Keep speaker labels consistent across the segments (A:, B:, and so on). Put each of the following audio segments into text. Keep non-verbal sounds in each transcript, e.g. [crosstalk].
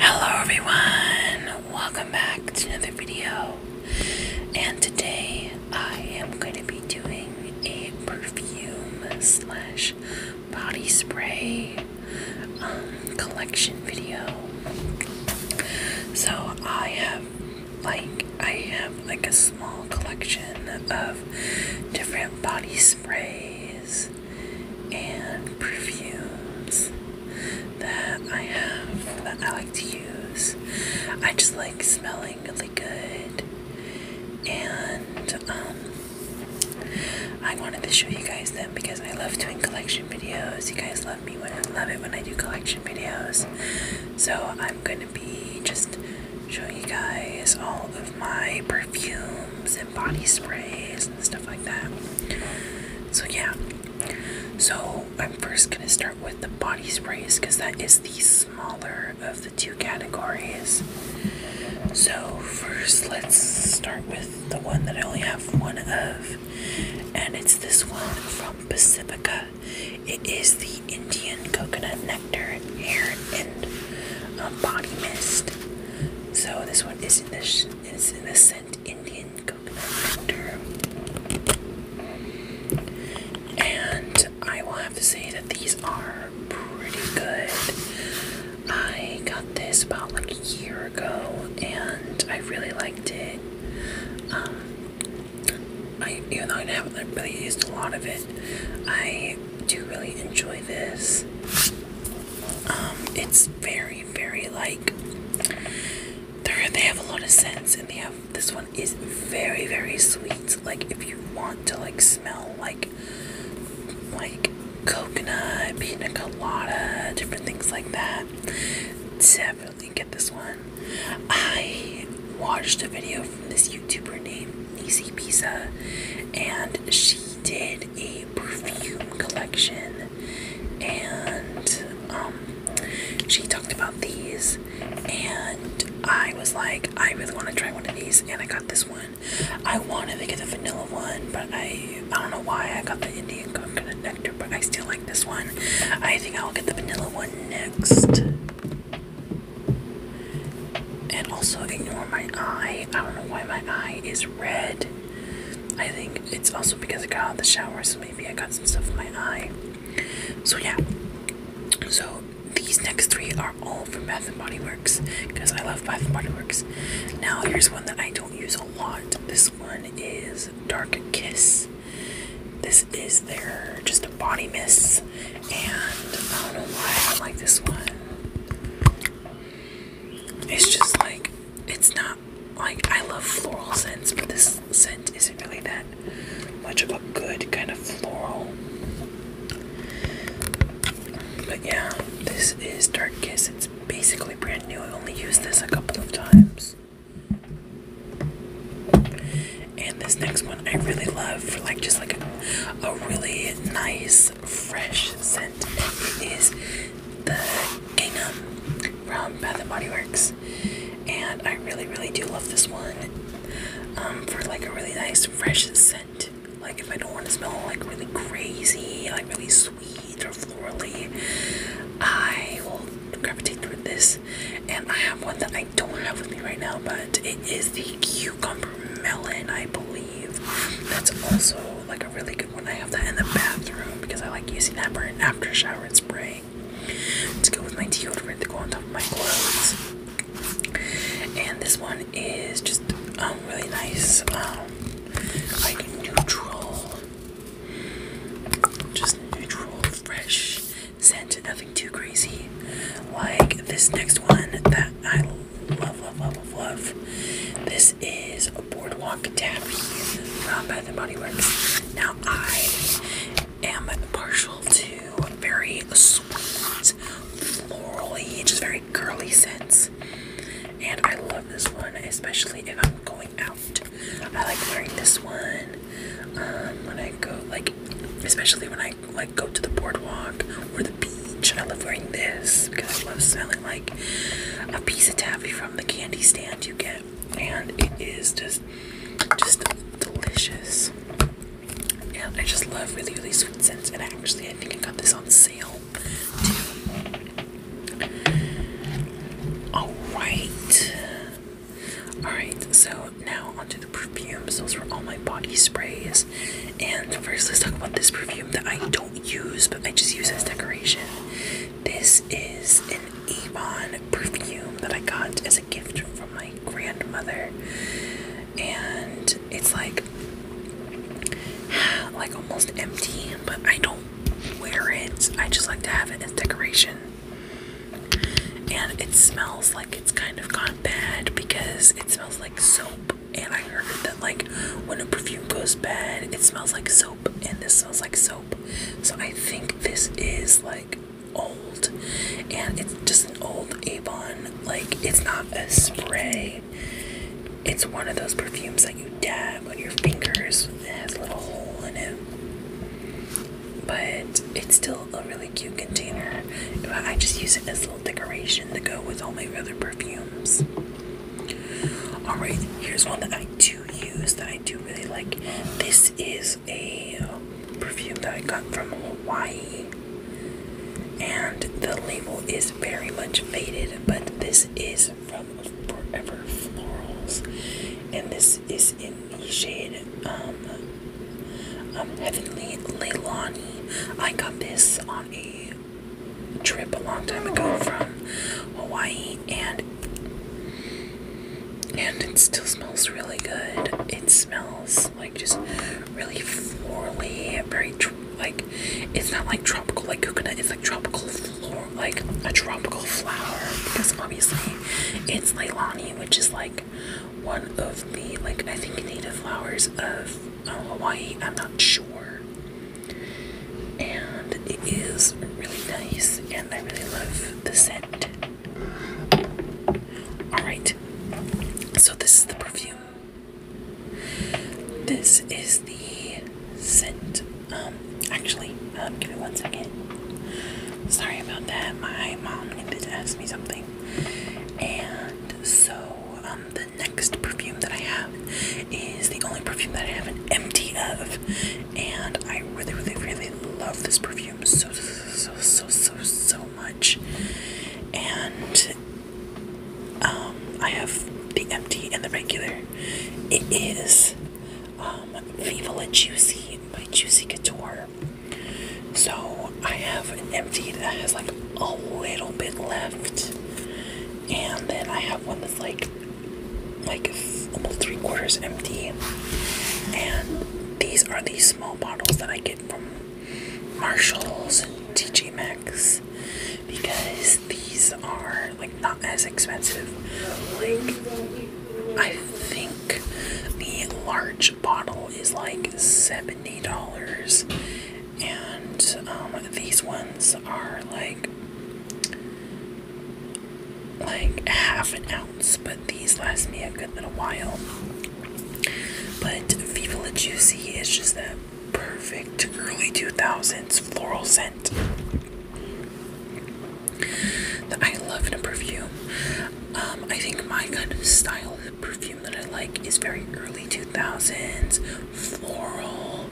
A: Hello everyone, welcome back to another video. And today I am going to be doing a perfume slash body spray um, collection video. So I have like I have like a small collection of different body sprays and perfumes that I have that I like to use. I just like smelling really good and um I wanted to show you guys them because I love doing collection videos. You guys love me when I love it when I do collection videos. So I'm gonna be just showing you guys all of my perfumes and body sprays and stuff like that. So yeah. So I'm first gonna start with the body sprays because that is the smaller of the two categories. So first let's start with the one that I only have one of, and it's this one from Pacifica. It is the Indian coconut nectar hair and um, body mist. So this one is in this is in the scent Indian coconut nectar. And I will have to say that these are pretty good. I got this about like a year ago and I really liked it. Um, I, even though I haven't really used a lot of it, I do really enjoy this. Um, it's very, very like they have a lot of scents, and they have this one is very, very sweet. Like if you want to like smell like like coconut, pina colada, different things like that. Definitely get this one. I watched a video from this YouTuber named Easy Pizza, and she did a perfume collection, and um, she talked about these, and I was like, I really want to try one of these, and I got this one. I wanted to get the vanilla one, but I I don't know why I got the Indian coconut nectar, but I still like this one. I think I'll get the vanilla one next. And also ignore my eye. I don't know why my eye is red. I think it's also because I got out of the shower, so maybe I got some stuff in my eye. So yeah. So these next three are all from Bath and Body because I love Bath and Body Works. Now here's one that I don't use a lot. This one is Dark Kiss. This is their just a body mist, and I don't know why I don't like this one. It's just like it's not like I love floral scents, but this scent isn't really that much of a good kind of floral. But yeah, this is Dark Kiss. It's basically brand new. I only used this a couple of times. And this next one I really love for like just like a, really nice fresh scent. It is the Gingham from Bath and Body Works. And I really really do love this one um, for like a really nice fresh scent. Like if I don't want to smell like really crazy, like really sweet or florally, I will gravitate toward this. And I have one that I don't have with me right now, but it is the cucumber melon, I believe. That's also like a really good one. I have that in the bathroom because I like using that for an after shower and spray. It's go with my deodorant to go on top of my clothes. And this one is just um, really nice, um like neutral, just neutral, fresh scent, nothing too crazy. Like this next one that I love, love, love, love, love. This is a Boardwalk Taffy from Bath and Body Works. Now I am partial to very sweet, florally, just very girly scents. And I love this one, especially if I'm going out. I like wearing this one um, when I go, like, especially when I like go to the boardwalk or the beach. I love wearing this because I love smelling like a piece of taffy from the candy stand you get, and it is just, just delicious. And I just love really, really sweet scents. And actually, I think I got this on sale Alright. Alright, so now onto the perfumes. Those were all my body sprays. And first, let's talk about this perfume that I don't use, but I just use as decoration. This is an Avon perfume that I got as a gift from my grandmother. And it's like [sighs] like almost empty, but I don't wear it. I just like to have it as decoration. And it smells like it's kind of gone bad because it smells like soap. And I heard that like when a perfume goes bad, it smells like soap, and this smells like soap. So I think this is like old, and it's just an old Avon. Like it's not a spray it's one of those perfumes that you dab on your fingers. It has a little hole in it. But it's still a really cute container. I just use it as a little decoration to go with all my other perfumes. Alright, here's one that I do use that I do really like. This is a perfume that I got from Hawaii and the label is very much faded, but this is from Forever Florals, and this is in the shade um, um, Heavenly Leilani. I got this on a trip a long time ago from Hawaii, and and it still smells really good. It smells like just really florally, very like it's not like tropical like coconut it's like tropical like a tropical flower because obviously it's leilani which is like one of the like i think native flowers of uh, hawaii i'm not sure and it is really nice and i really love the scent all right so this is the perfume this is the scent. Um, actually, um, give me one second. Sorry about that. My mom needed to ask me something. And so, um, the next perfume that I have is the only perfume that I haven't empty of. And I really, really, really love this perfume so, so, so, so, so much. And um, I have the empty and the regular. It is um, Viva La Juicy by Juicy Couture. So I have an empty that has like a little bit left, and then I have one that's like like almost three quarters empty. And these are the small bottles that I get from Marshalls and TJ Maxx because these are like not as expensive. Like I think the large bottle is like seventy dollars, and um, these ones are like like half an ounce, but these last me a good little while. But Viva La Juicy is just that perfect early 2000s floral scent that I love in a perfume. Um, I think my kind of style of perfume that I like is very early 2000s, floral,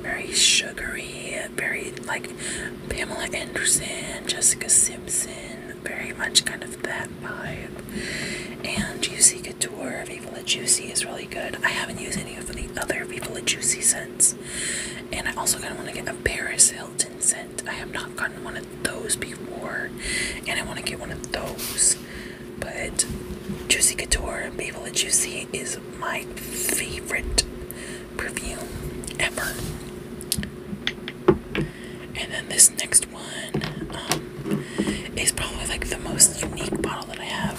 A: very sugary, very like Pamela Anderson, Jessica Simpson, very much kind of that vibe. And you see Couture Viva La Juicy is really good. I haven't used any of the other Viva La Juicy scents. And I also kind of want to get a Paris Hilton scent. I have not gotten one of those before. And I want to get one of those. But Juicy Couture and Viva La Juicy is my favorite perfume ever. And then this next one, um, is probably like the most unique bottle that I have.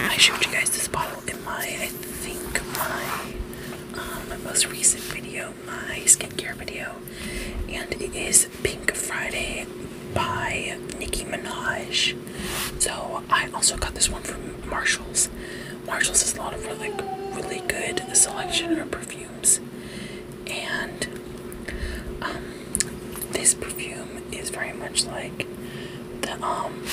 A: And I showed you guys this bottle in my, I think my, um, most recent video, my skincare video, and it is Pink Friday by Nicki Minaj. So I also got this one from Marshalls. Marshalls has a lot of really, really good selection of perfumes, and um, this perfume is very much like the um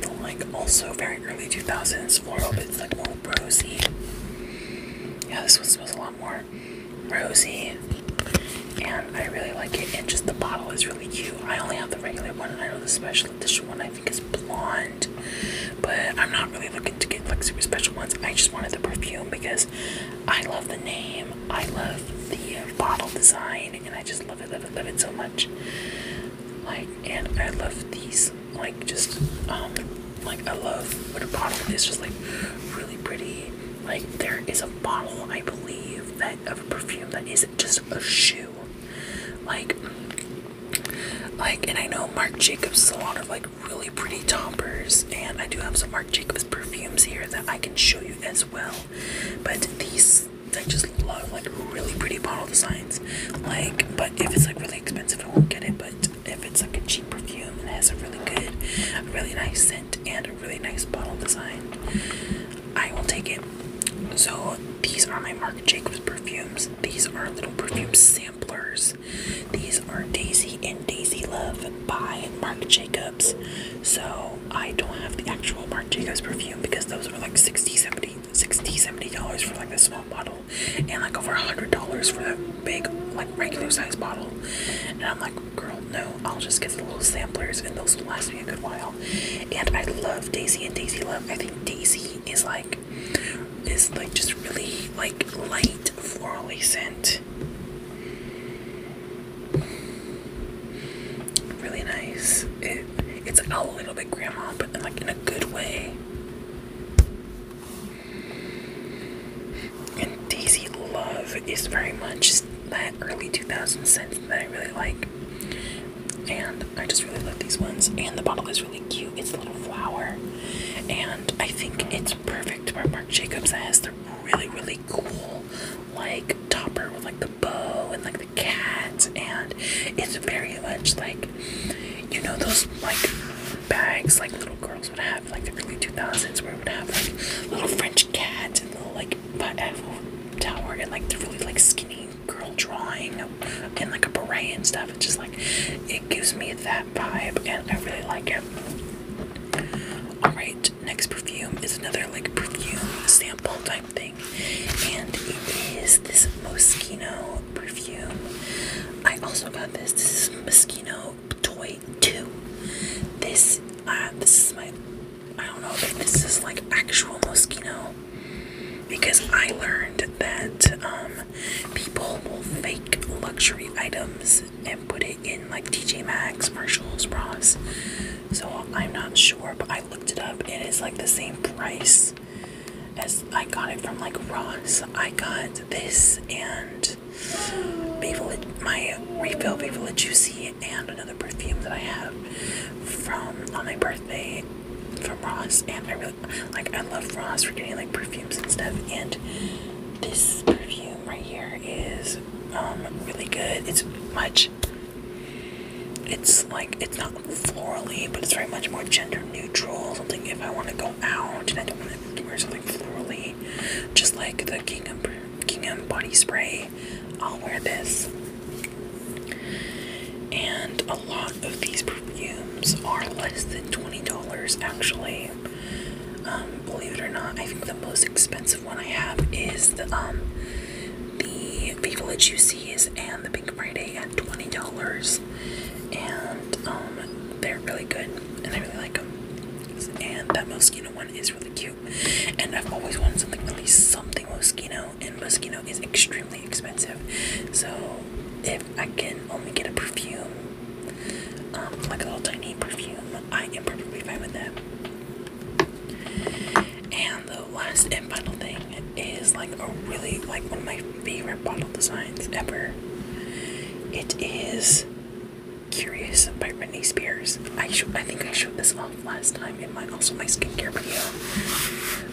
A: the like also very early 2000s floral but it's like more rosy yeah this one smells a lot more rosy and I really like it and just the bottle is really cute I only have the regular one and I know the special edition one I think is blonde but I'm not really looking to get like super special ones I just wanted the perfume because I love the name I love the bottle design and I just love it, love it, love it so much. Like, and I love these, like, just, um, like, I love what a bottle is, just like really pretty. Like, there is a bottle, I believe, that of a perfume that is just a shoe. Like, like, and I know Marc Jacobs is a lot of like really pretty toppers, and I do have some Marc Jacobs perfumes here that I can show you as well. But these, I just love like really pretty bottle designs. Like, but if it's like really expensive, I won't get it. But if it's like a cheap perfume and it has a really good, really nice scent and a really nice bottle design, I will take it. So these are my Marc Jacobs perfumes. These are little perfume samplers. These are Daisy and Daisy Love by Marc Jacobs. So I don't have the actual Marc Jacobs perfume because those are like 60 70 60 70 dollars for like the small bottle and like over a hundred dollars for the big like regular size bottle. And I'm like, girl, no, I'll just get the little samplers and those will last me a good while. And I love Daisy and Daisy Love. I think Daisy is like is like just really like light florally scent really nice. It it's a little bit grandma, but then like in a good way. And Daisy Love is very much that early 2000 scent that I really like. And I just really love these ones. And the bottle is really cute. It's a little flower. And I think it's perfect for Mark Jacobs that has the really, really cool like topper with like the bow and like the cat and it's very much like you know those like bags like little girls would have like the early 2000s where it would have like little French cats and little like but tower and like the really like skinny girl drawing and like a beret and stuff. It's just like it gives me that vibe and I really like it. Alright, next perfume is another like perfume sample type thing, and it is this Moschino perfume. I also got this. This is Moschino Toy 2. This uh, this is my I don't know this is like actual Moschino because I learned that um, people will fake luxury items and put it in like TJ Maxx, Marshalls, Ross. So I'm not sure, but I looked it up. It is like the same price as I got it from like Ross. I got this and Bavola, my refill Bavola Juicy and another perfume that I have from on my birthday from Ross. And I really like I love Ross for getting like perfumes and stuff. And this perfume right here is um, really good. It's much, it's like, it's not florally, but it's very much more gender neutral. Something if I want to go out and I don't want to wear something florally, just like the Kingdom Gingham body spray, I'll wear this. And a lot of these perfumes are less than $20 actually. Um, believe it or not, I think the most expensive one I have is the people that you see is and the Pink Friday at twenty dollars, and um, they're really good and I really like them. And that Moschino one is really cute, and I've always wanted something really something Moschino, and Moschino is extremely expensive, so if I can only get a perfume, um, like a little tiny perfume I am perfectly fine with that. And the last and final thing is like a really like one of my favorite bottle designs ever. It is Curious by Britney Spears. I I think I showed this off last time in my also my skincare video.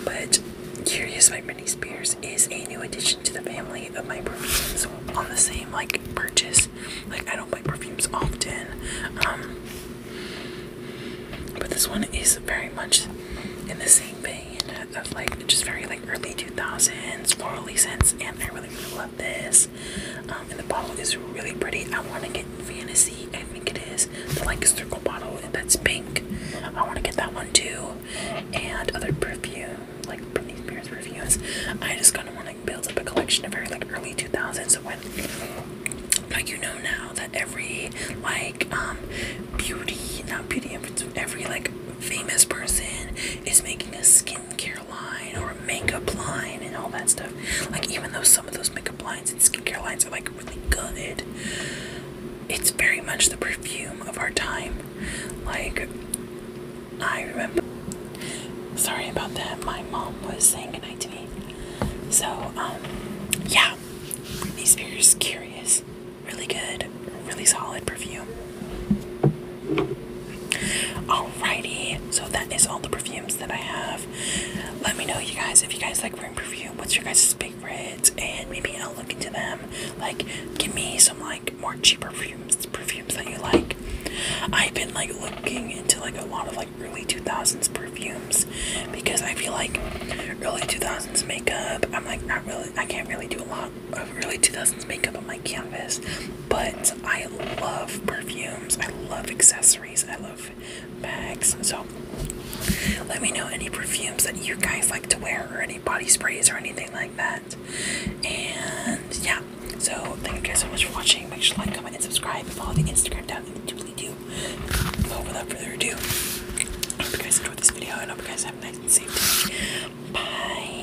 A: But Curious by Britney Spears is a new addition to the family of my perfumes on the same like purchase perfumes. Like I don't buy perfumes often. Um, but this one is very much in the same vein of like just very like early 2000s florally scents and I really really love this. Um, and the bottle is really pretty. I want to get Fantasy, I think it is. The like circle bottle that's pink. I want to get that one too. And other perfume like Britney Spears perfumes. I just kind of want to builds up a collection of very like early 2000s. So when like you know now that every like um, beauty not beauty every like famous person is making a skincare line or a makeup line and all that stuff. Like even though some of those makeup lines and skincare lines are like really good, it's very much the perfume of our time. Like I remember. Sorry about that. My mom was saying goodnight to me. So, um, yeah. Britney Spears, Curious. Really good. Really solid perfume. Alrighty. So that is all the perfumes that I have. Let me know, you guys, if you guys like wearing perfume. What's your guys' favorite? And maybe I'll look into them. Like, give me some like more cheaper perfumes. perfumes that you like. I've been like looking into like a lot of like early 2000s perfumes because I feel like early 2000s makeup, I'm like not really, I can't really do a lot of early 2000s makeup on my canvas, but I love perfumes, I love accessories, I love bags. So let me know any perfumes that you guys like to wear or any body sprays or anything like that. And yeah, so thank you guys so much for watching. Make sure to like, comment, and subscribe. Follow the Instagram down in the doobly-doo. without further ado, I hope you guys enjoyed this video and hope you guys have a nice and safe day. Bye.